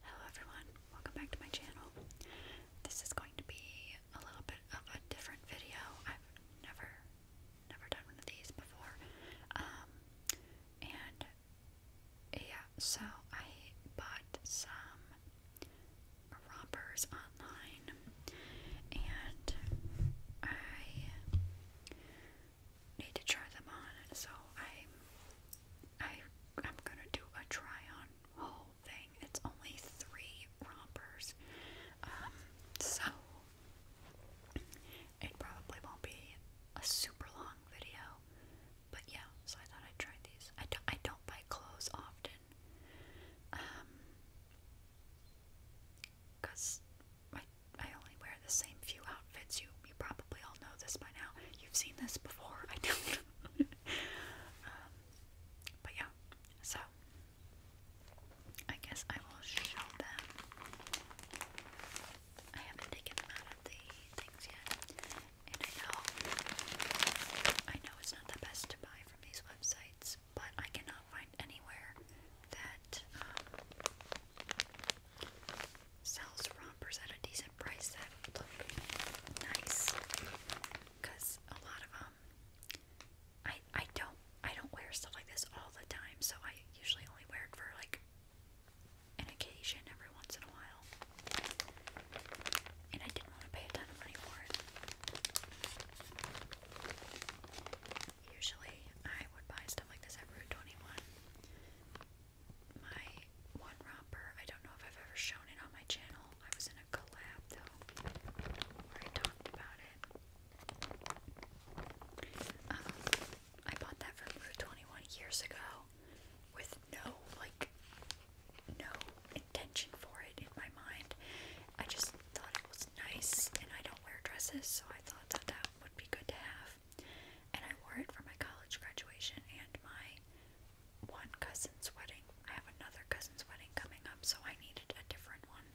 Hello everyone, welcome back to my channel. This is going to be a little bit of a different video. I've never, never done one of these before. Um, and yeah, so I bought some rompers online and I need to try them on, so i I I'm gonna do a try on whole thing. It's only three rompers, um, so it probably won't be a super long video. But yeah, so I thought I'd try these. I don't I don't buy clothes often, um, cause I I only wear the same few outfits outfits. You you probably all know this by now. You've seen this before. I do um, but yeah, so I guess I will show them. I haven't taken them out of the things yet, and I know I know it's not the best to buy from these websites, but I cannot find anywhere that. Um, sells rompers at a decent price that look nice. Cause a lot of them, um, I I don't I don't wear stuff like this all the time, so I usually only wear it for like an occasion every once in a while. And I didn't want to pay a ton of money for it. Usually I would buy stuff like this at Route 21 my one romper. I don't know if I've ever shown it on my channel. I was in a collab though, where I talked about it. Um, I bought that from Rue 21 years ago with no like no intention for it in my mind. I just thought it was nice and I don't wear dresses so I thought that that would be good to have and I wore it for my college graduation and my one cousin's wedding. I have another cousin's wedding coming up, so I needed a different one.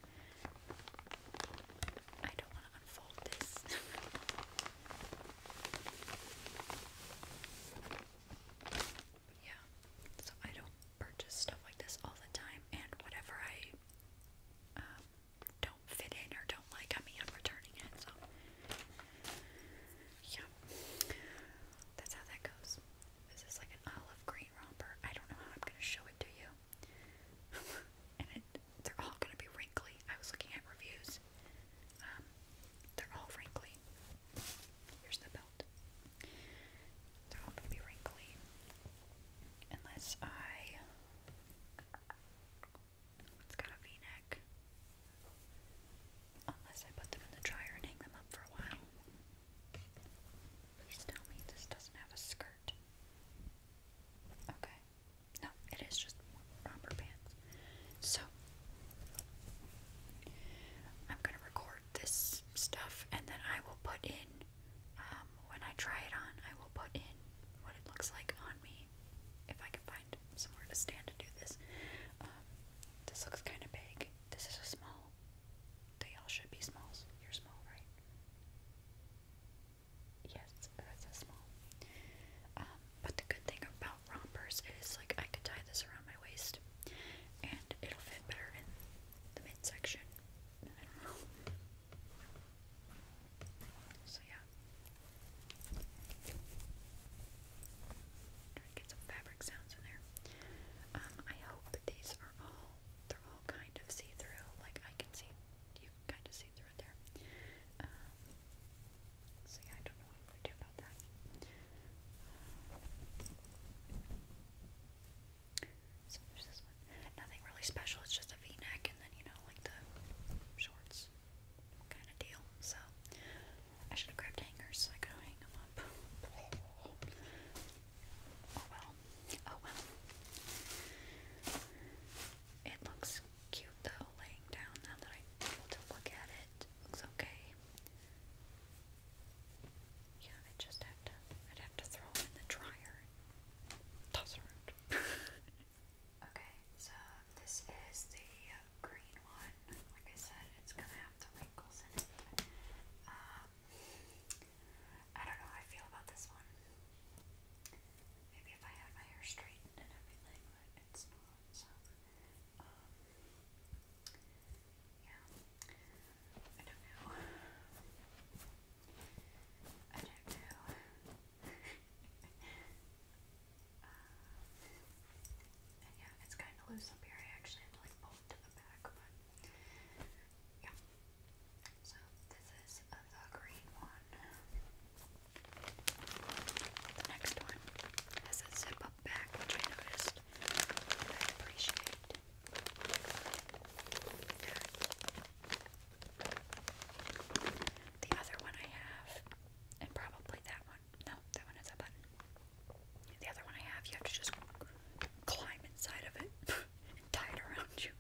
I don't want to unfold this. yeah, so I don't purchase stuff like this all the time, and whatever I um, don't fit in or don't like, I I'm returning it, so. Yeah. That's how that goes. This is like an olive green romper. I don't know how I'm going to show it to you. and it, they're all going to be wrinkly. I was looking at reviews. Um, they're all wrinkly. Here's the belt. They're all going to be wrinkly. Unless I it's got a v-neck. Unless I put them in the dryer and hang them up for a while. Please tell me this doesn't have a skirt. Okay. No, it is just romper pants. So, I'm going to record this stuff and then I will put in um, when I try it on, I will put in what it looks like on me if I can find somewhere to stand to do this. Um, this looks kind of big. This is a small. They all should be smalls. You're small, right? Yes, that's a small. Um, but the good thing about rompers is like I could tie this around my waist and it'll fit better in the midsection. I don't know. So yeah. Trying to get some fabric sounds in there. Um, I hope these are all they're all kind of see-through. Like I can see you kind of see through it there. Um, so yeah, I don't know what to do about that. Nothing really special, it's just a v-neck and then, you know, like the shorts kind of deal. So I should have grabbed hangers so I could hang them up. Oh well. Oh well. It looks cute though, laying down now that I'm to look at it. Looks okay. Yeah, I just have to I'd have to throw them in the dryer toss around. okay, so this is the green one. Like I said, it's gonna have the wrinkles in it. Um, I don't know how I feel about this one. Maybe if I had my hair straightened and everything, but it's not, so. Um, yeah. I don't know. I do yeah, it's kind of loose here. I actually had to like pull it to the back, but yeah. So this is the green one. The next one has a zip up back, which I noticed. appreciate. The other one I have, and probably that one. No, that one is a button. The other one I have, you have to just climb inside of it and tie it around you.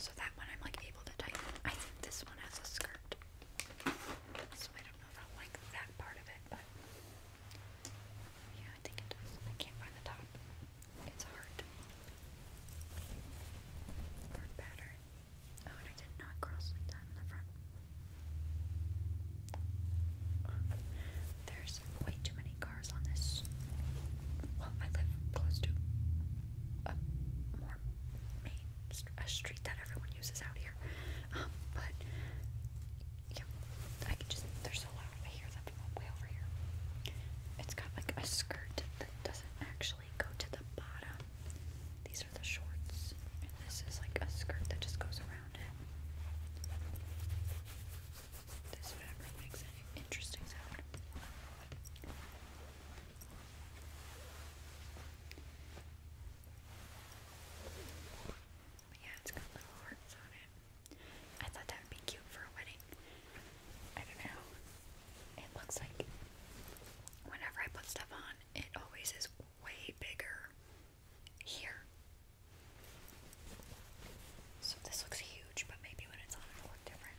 So that one I'm like able to tighten. I think this one has a skirt. So I don't know if I like that part of it, but yeah, I think it does. I can't find the top. It's hard. Hard pattern. Oh, and I did not cross that in the front. There's way too many cars on this. Well, I live close to a main, street that everyone uses out here. Um, it's got like a skirt that doesn't actually go to the bottom. These are the shorts, and this is like a skirt that just goes around it. This fabric makes an interesting sound yeah, it's got little hearts on it. I thought that would be cute for a wedding. I don't know. It looks like whenever I put stuff on, it always is way bigger here. So this looks huge, but maybe when it's on it'll look different.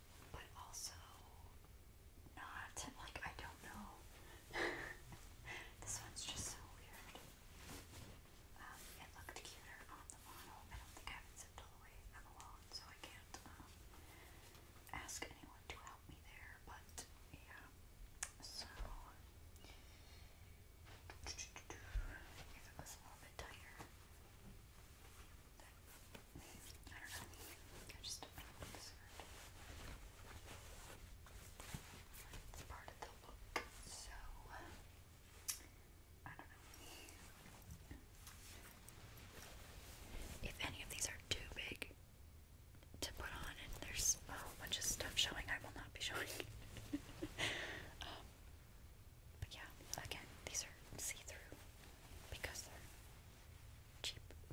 but also not. Like, I don't know. this one's just so weird. Um, it looked cuter on the model. I don't think I haven't zipped all the way. I'm alone, so I can't um, ask anyone to help me there, but yeah. So, I do If any of these are too big to put on, and there's a bunch of stuff showing, I will not be showing. Um, but yeah, again, these are see through because they're cheap.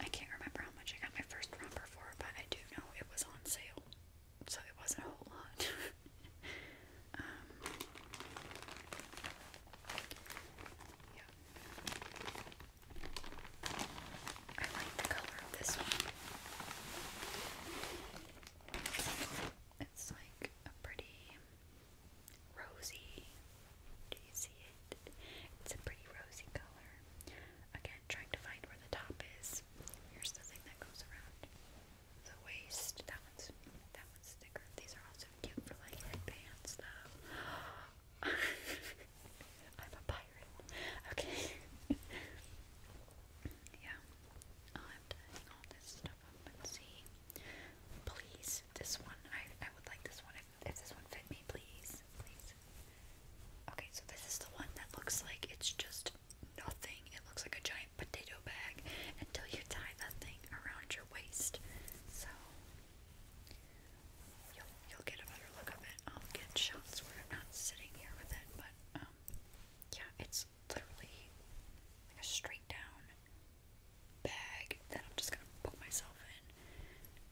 I can't remember how much I got my first romper for, but I do know it was on sale, so it wasn't a whole lot. Um, I like the color of this one. It's like a pretty rosy. Do you see it? It's a pretty rosy color. Again, trying to find where the top is. Here's the thing that goes around the waist. That one's that one's thicker. These are also cute for like pants, though. I'm a pirate. Okay. yeah. I'm tying all this stuff up and see. Please, this one, I, I would like this one if this one fit me, please. Please. Okay, so this is the one that looks like it's just nothing. It looks like a giant potato bag until you tie that thing around your waist. So you'll you'll get a better look of it. I'll get shots where I'm not sitting here with it, but um yeah, it's literally like a straight down bag that I'm just gonna put myself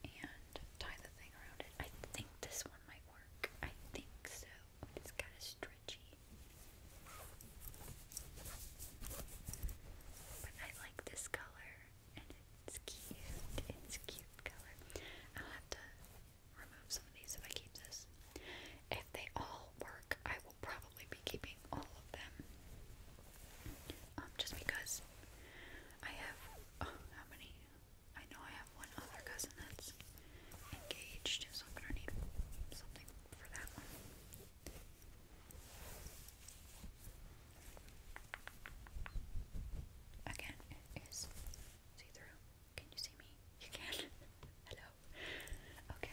in and tie the thing around it. I think this one might work. I think so. It's kind of stretchy. But I like this color and it's cute. It's cute color. I'll have to remove some of these if I keep this. If they all work, I will probably be keeping all of them. Um, just because I have, oh, how many? I know I have one other cousin that's engaged, so I'm gonna need something for that one. Again, it is see through. Can you see me? You can. Hello. Okay.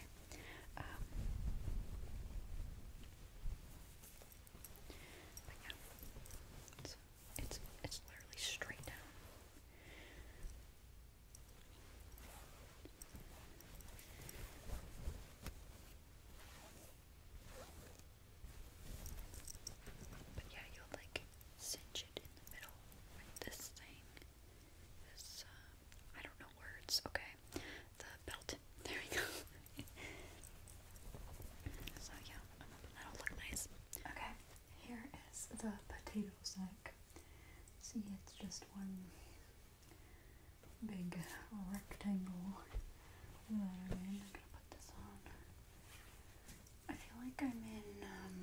Um, yeah, it's, it's it's literally straight down. yeah, you'll like cinch in the middle this thing. Uh, I don't know words, okay. The belt. There we go. so, yeah, that'll look nice. Okay, here is the potato sack. See, it's just one big rectangle. I feel like I'm in um,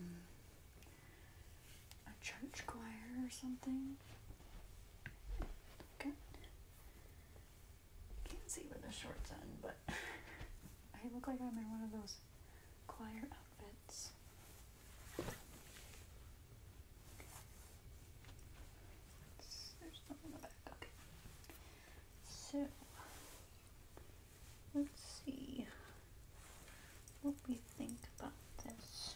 a church choir or something. Okay. Can't see where the shorts end, but I look like I'm in one of those choir outfits. There's something in the back. Okay. So Let's see what we think about this.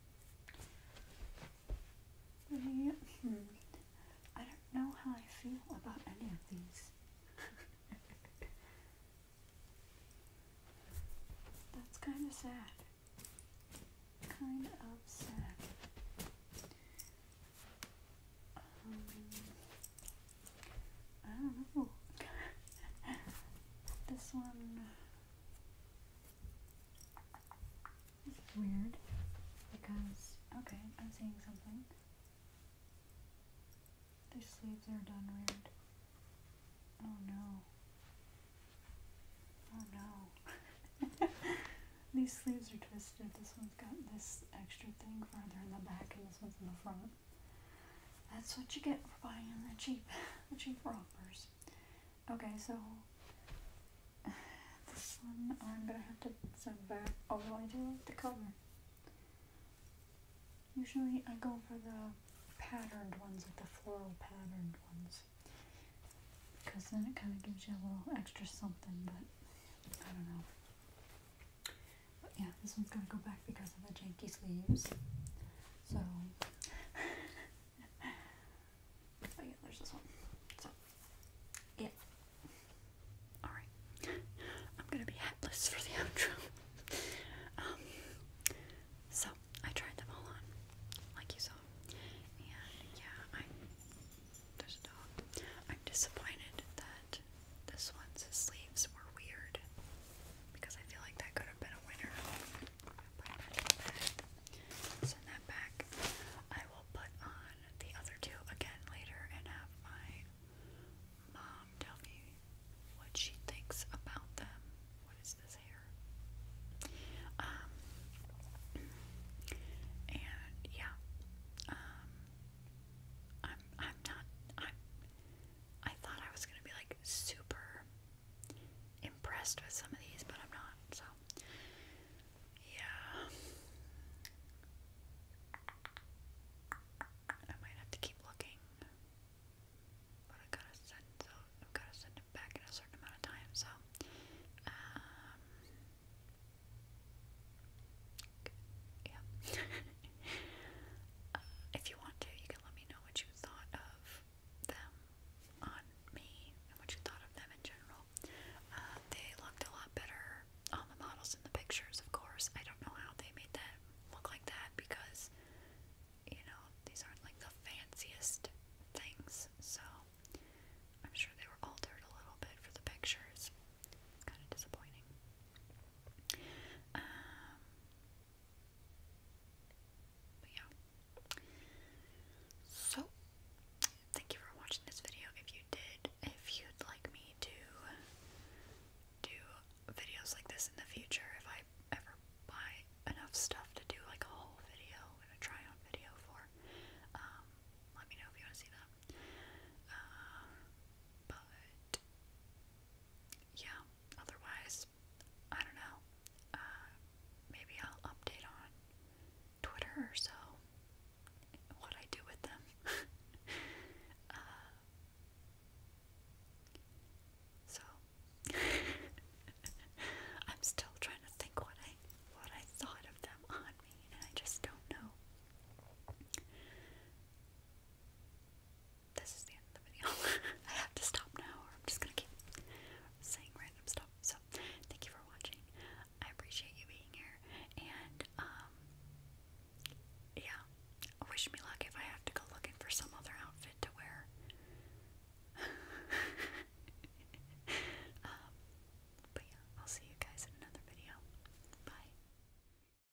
I don't know how I feel about any of these. That's kind of sad. Kind of sad. Um, I don't know. this one uh, this is weird because okay, I'm seeing something. These sleeves are done weird. Oh no. Oh no. These sleeves are twisted. This one's got this extra thing farther in the back and this one's in the front. That's what you get for buying the cheap the cheap rompers. Okay, so this one I'm gonna have to send back. Oh, I do like the color. Usually I go for the patterned ones, like the floral patterned ones. Because then it kind of gives you a little extra something, but I don't know. But yeah, this one's gonna go back because of the janky sleeves. So, oh yeah, there's this one. So, yeah. Alright. I'm gonna be hatless for the outro. Um, so, I tried them all on, like you saw. And yeah, i There's a dog. I'm disappointed that this one's sleeves were weird because I feel like that could have been a winner. Send that back. I will put on the other two again later and have my mom tell me what she thinks about them. What is this hair? Um and yeah. Um I'm I'm not I thought I was gonna be like super impressed with some of these, but I'm not, so yeah. I might have to keep looking. But I gotta send so i gotta send it back in a certain amount of time, so um yeah. Uh, if you want to, you let me know what you thought of them on me and what you thought of them in general. Uh, they looked a lot better on the models in the pictures, of course. I don't know how they made that look like that because, you know, these aren't like the fanciest things, so I'm sure they were altered a little bit for the pictures. Kind of disappointing. Um, yeah. So, thank you for watching this video. If you did, if you'd like me to do videos like this in the future, if I ever buy enough stuff to do like a whole video and a try on video for, um, let me know if you want to see that. Uh, but yeah, otherwise, I don't know. Uh, maybe I'll update on Twitter or so what I do with them. Uh, so I'm still trying to think what I what I thought of them on me, and I just don't know this is the end of the video. I have to stop now, or I'm just gonna keep saying random stuff. So, thank you for watching. I appreciate you being here, and um, yeah, wish me luck if I have to go looking for some other outfit to wear. Um, but yeah, I'll see you guys in another video. Bye.